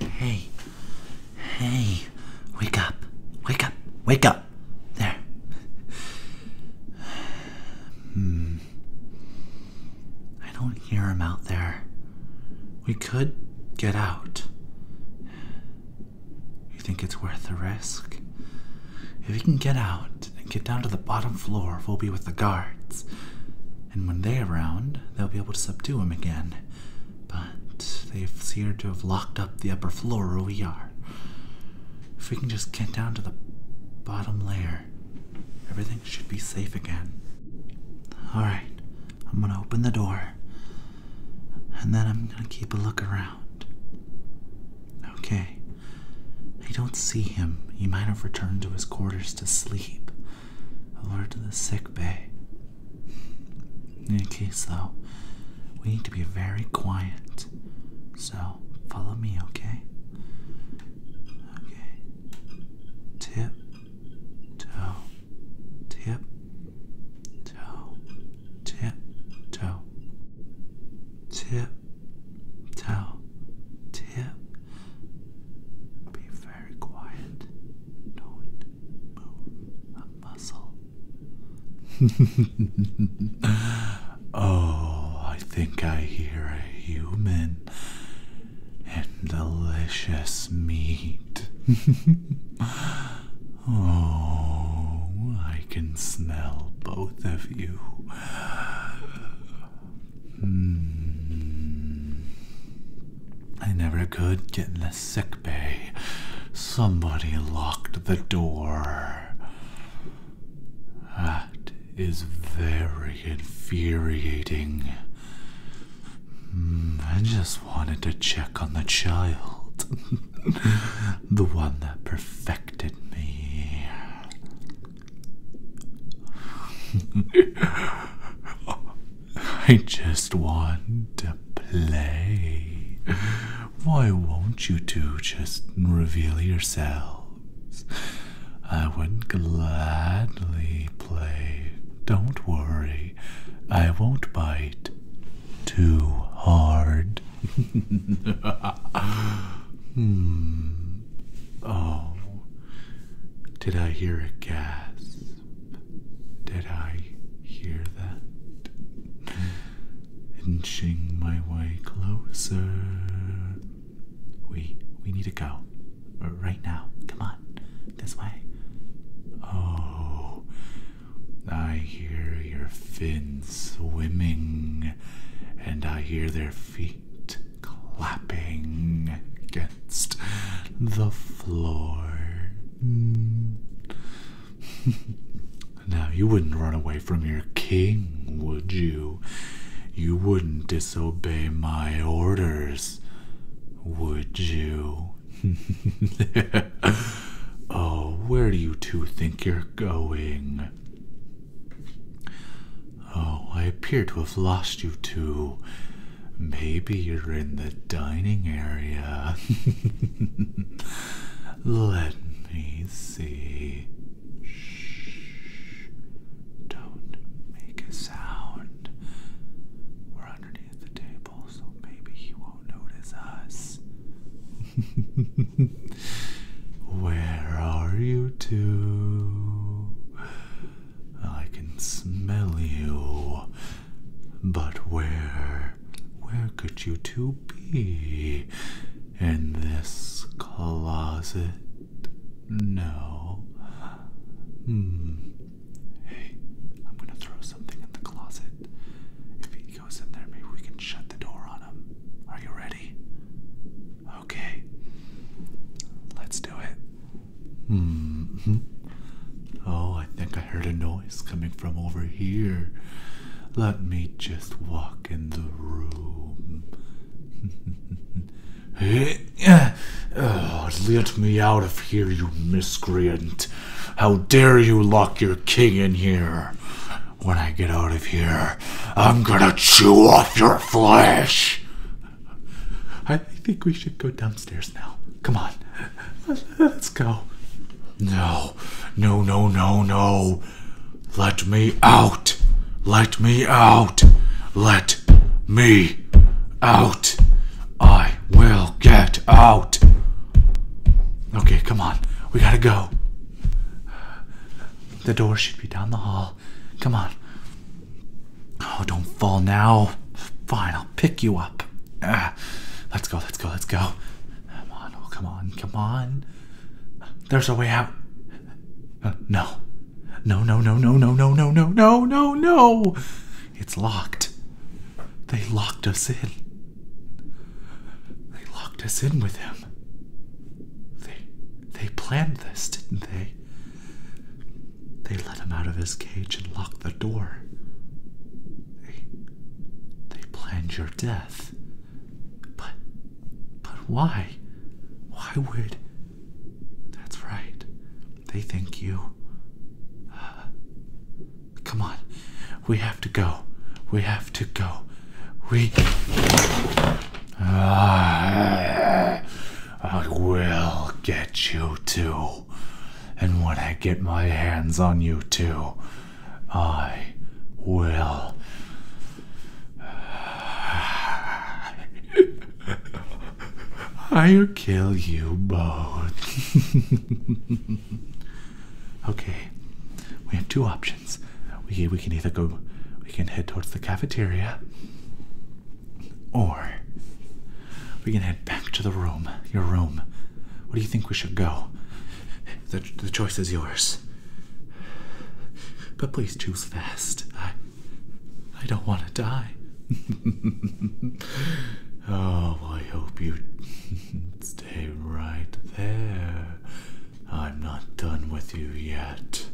Hey, hey, wake up, wake up, wake up. There. Hmm. I don't hear him out there. We could get out. You think it's worth the risk? If we can get out and get down to the bottom floor, we'll be with the guards and when they're around, they'll be able to subdue him again. But they appear to have locked up the upper floor where we are. If we can just get down to the bottom layer, everything should be safe again. Alright, I'm gonna open the door, and then I'm gonna keep a look around. Okay. I don't see him. He might have returned to his quarters to sleep or to the sick bay. In any case, though, we need to be very quiet. So follow me, okay? Okay. Tip, toe, tip, toe, tip, toe tip, tell, tip. Be very quiet. Don't move a muscle. oh, I think I hear a human and delicious meat. oh, I can smell both of you Hmm. I never could get in a sick bay. Somebody locked the door. That is very infuriating. Hmm, I just wanted to check on the child. the one that perfected me. I just want to play. Why won't you two just reveal yourselves? I would gladly play. Don't worry, I won't bite too hard. Hmm. Oh, did I hear a gasp? Did I hear that? Inching my way closer. We we need to go right now. Come on, this way. Oh, I hear your fins swimming, and I hear their feet clapping against the floor. Mm. now, you wouldn't run away from your king, would you? You wouldn't disobey my orders, would you? oh, where do you two think you're going? Oh, I appear to have lost you two. Maybe you're in the dining area. Let me see. Shh. Don't make a sound underneath the table, so maybe he won't notice us. Where are you two? I can smell you. But where, where could you two be? In this closet? No. Hmm. Hey, I'm gonna throw something in the closet. If he goes in there, maybe we can shut the door on him. Are you ready? Okay. Let's do it. hmm. Oh, I think I heard a noise coming from over here. Let me just walk in the room. Eh, oh, let me out of here, you miscreant. How dare you lock your king in here? When I get out of here, I'm gonna chew off your flesh! I think we should go downstairs now. Come on. Let's go. No, no, no, no, no. Let me out! Let me out! Let me out! I will get out! Okay, come on. We gotta go. The door should be down the hall. Come on. Oh, don't fall now. Fine, I'll pick you up. Ah, let's go, let's go, let's go. Come on, oh, come on, come on. There's a way out. Uh, no. No, no, no, no, no, no, no, no, no, no, no. It's locked. They locked us in. They locked us in with him. They they planned this, didn't they? They let him out of his cage and locked the door. They they planned your death. But but why? Why would That's right. They think you uh, Come on. We have to go. We have to go. We uh, I will get you too. And when I get my hands on you too, I will. I'll kill you both. okay, we have two options. We we can either go, we can head towards the cafeteria, or we can head back to the room. Your room. Where do you think we should go? The, the choice is yours. But please choose fast. I, I don't want to die. oh, I hope you stay right there. I'm not done with you yet.